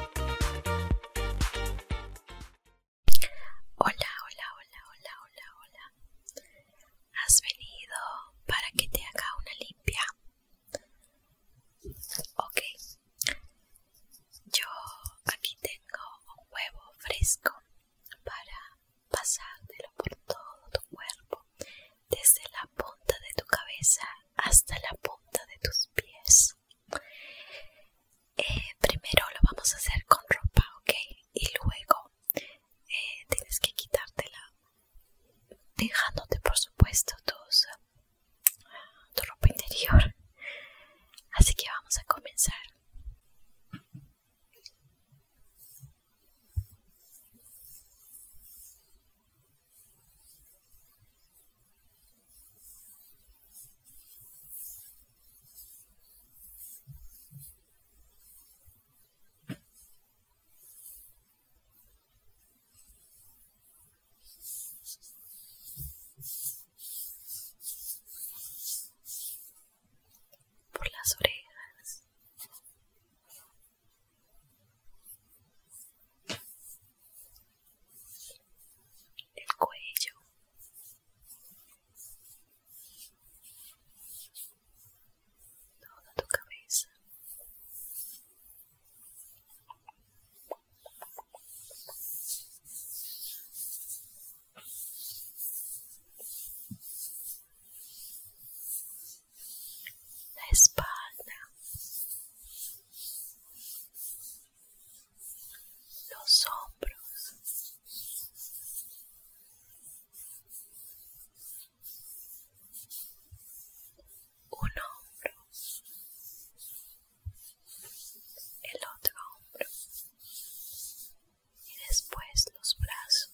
Hola, hola, hola, hola, hola, hola. ¿Has venido para que te haga una limpia? Ok. Yo aquí tengo un huevo fresco para pasártelo por todo tu cuerpo desde la punta de tu cabeza hasta la punta de tus pies. Eh, primero lo vamos a hacer con ropa, ¿ok? Y luego eh, tienes que quitártela, dejándote por supuesto tu ropa interior. Así que vamos a comenzar por las orejas el cuello, toda tu cabeza la espalda, los hombros, un hombro, el otro hombro y después los brazos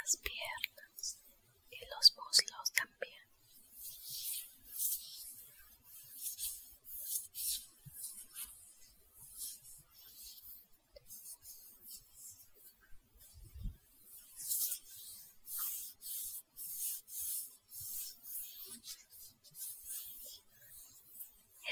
las piernas y los muslos también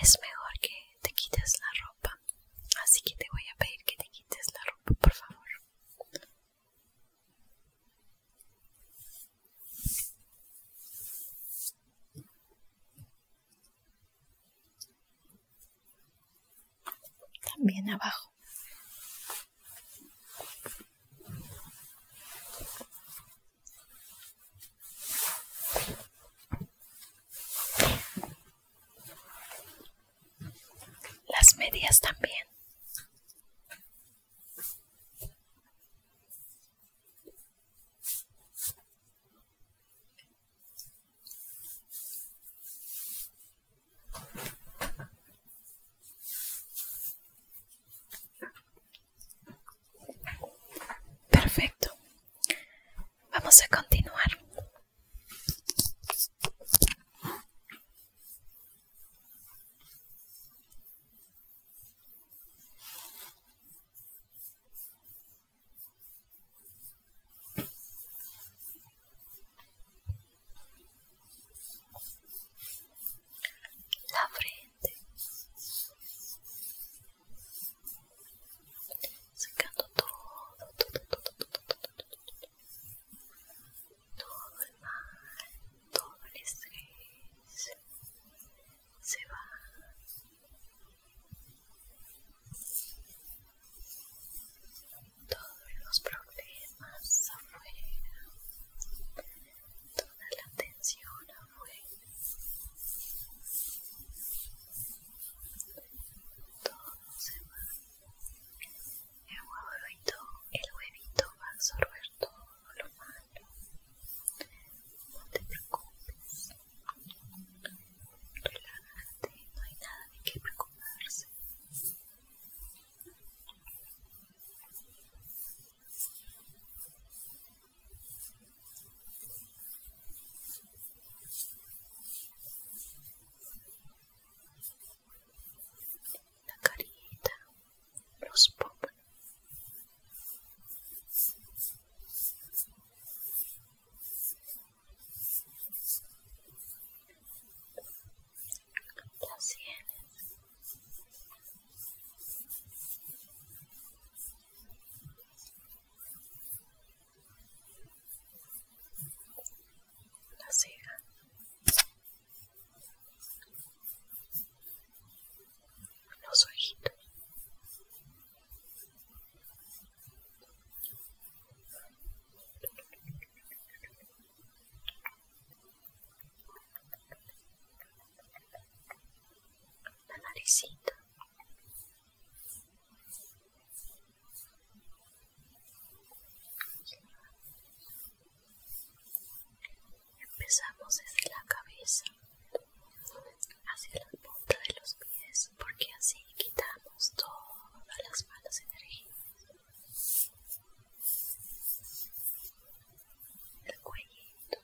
es mejor que te quites la ropa. Así que te voy a pedir que te quites la ropa, por favor. También abajo. Las medias también. Perfecto. Vamos a continuar. La frente sacando todo, todo, el mal, todo el estrés se va. Todos los problemas afuera, toda la tensión afuera. Todo se va. El huevito, el huevito va a absorber todo lo malo. No te preocupes. Relájate, no hay nada de qué preocuparse la carita, los pop Las sienes la ceja, los ojitos la naricita. Empezamos desde la cabeza hacia la punta de los pies porque así quitamos todas las malas energías. El cuellito.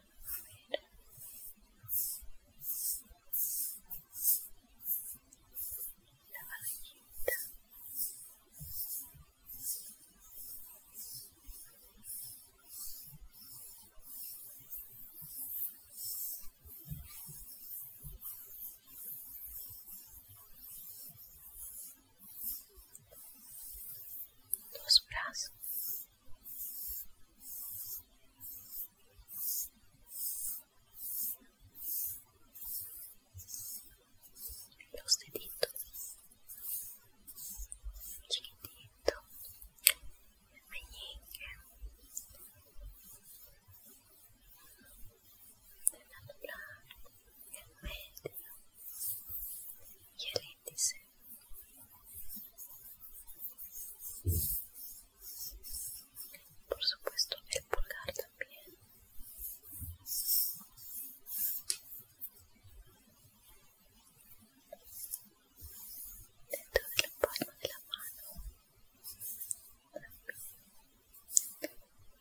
la barriguita los brazos los deditos chiquitito el meñique el anular el medio y el índice por supuesto, el pulgar también. Dentro de la palma de la mano.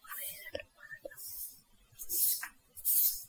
Fuera de mano.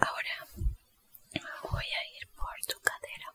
Ahora voy a ir por tu cadera.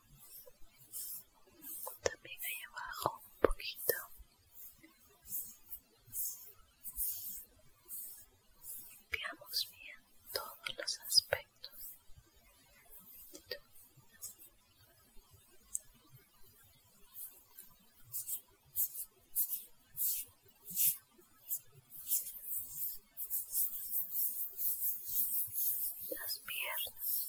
también ahí abajo un poquito limpiamos bien todos los aspectos las piernas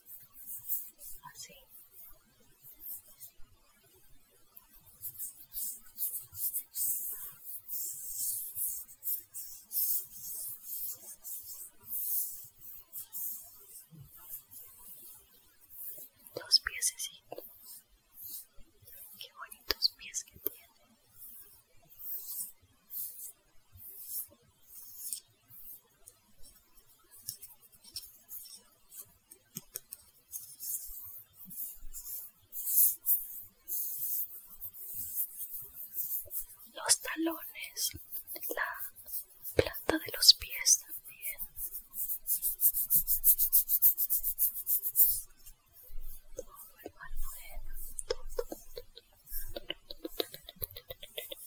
os Dos piececitos. bonitos pies que tiene. los talones, la planta de los pies también.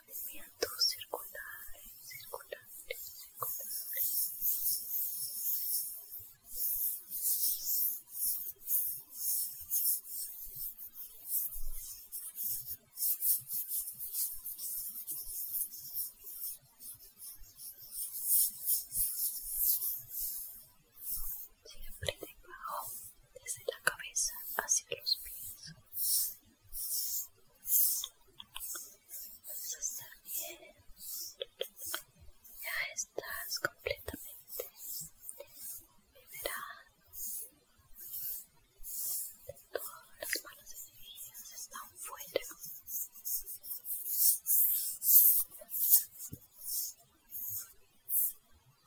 movimientos circulares, circulares, circulares. Siempre debajo desde la cabeza hacia los pies. Vas a bien. Ya estás completamente liberada. Todas las malas energías están fuera.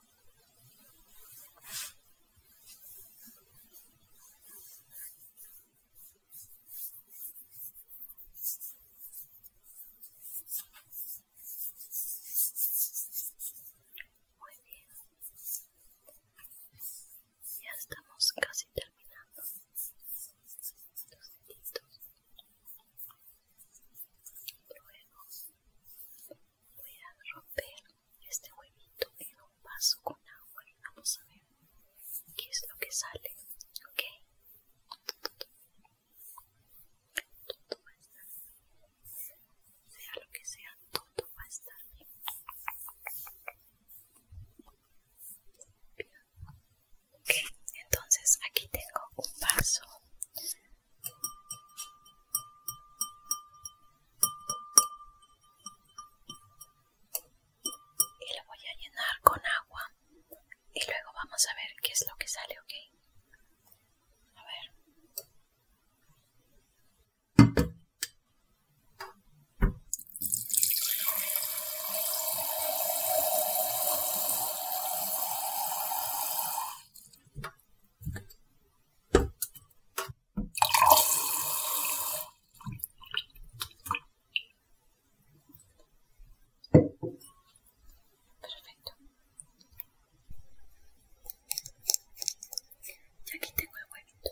Muy bien. Ya estamos casi terminando voy a romper este huevito en un vaso con agua y vamos a ver qué es lo que sale, ¿ok? Todo va a estar bien. Sea lo que sea, todo va a estar bien. Ok, entonces aquí tengo un vaso y lo voy a llenar con agua. Y luego vamos a ver qué es lo que sale, ¿ok? A ver. Perfecto. Y aquí tengo el huevito.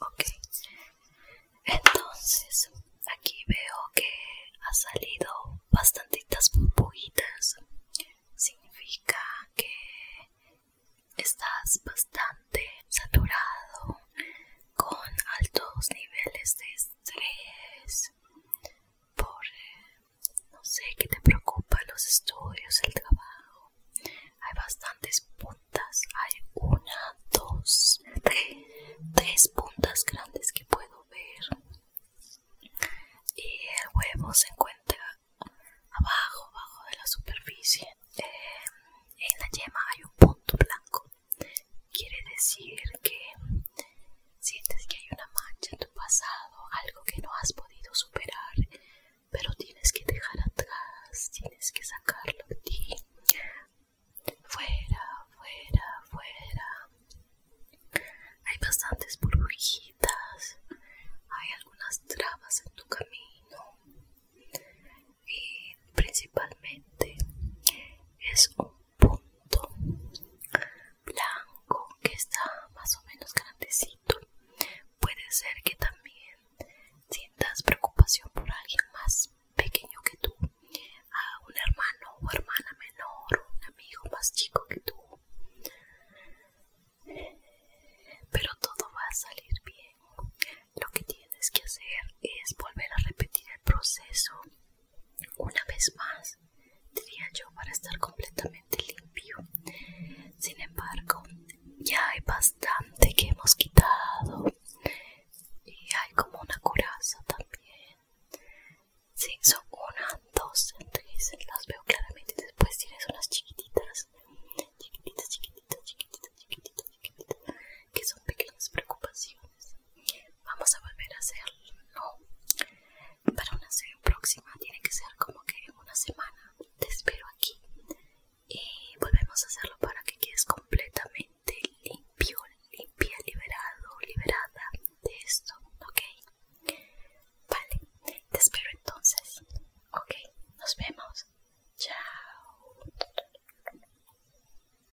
Ok, entonces aquí veo que ha salido bastantitas burbujitas. Significa que estás bastante saturado con altos niveles de estrés por, no sé, qué te preocupa, los estudios, el trabajo. Hay bastantes puntas, hay una, dos, tres, tres puntas grandes que puedo ver. Y el huevo se encuentra abajo, abajo de la superficie. Eh, en la yema hay un punto blanco Quiere decir que sientes que hay una mancha en tu pasado, algo que no has podido superar, pero tienes que dejar atrás, tienes que sacarlo de ti. Fuera, fuera, fuera. Hay bastantes burbujitas, hay algunas trabas en tu camino y principalmente es un punto blanco que está más o menos grandecito. Puede ser que también sientas preocupación por alguien más pequeño que tú, a un hermano o hermana menor, un amigo más chico que tú. Pero todo va a salir bien. Lo que tienes que hacer es volver a repetir el proceso una vez más, diría yo, para estar completamente limpio. Sin embargo, ya hay bastante que hemos quitado. Y hay como una curaza también. Sí, son una, dos, tres. Las veo claramente. Después tienes unas chiquititas. Chiquititas, chiquititas, chiquititas, chiquititas, chiquititas. Que son pequeñas preocupaciones. Vamos a volver a hacerlo Para una serie próxima tiene que ser como que en una semana. Te espero aquí y volvemos a hacerlo para que quedes completamente limpio, limpia, liberado, liberada de esto, ¿ok? Vale, te espero entonces. Ok, nos vemos. Chao.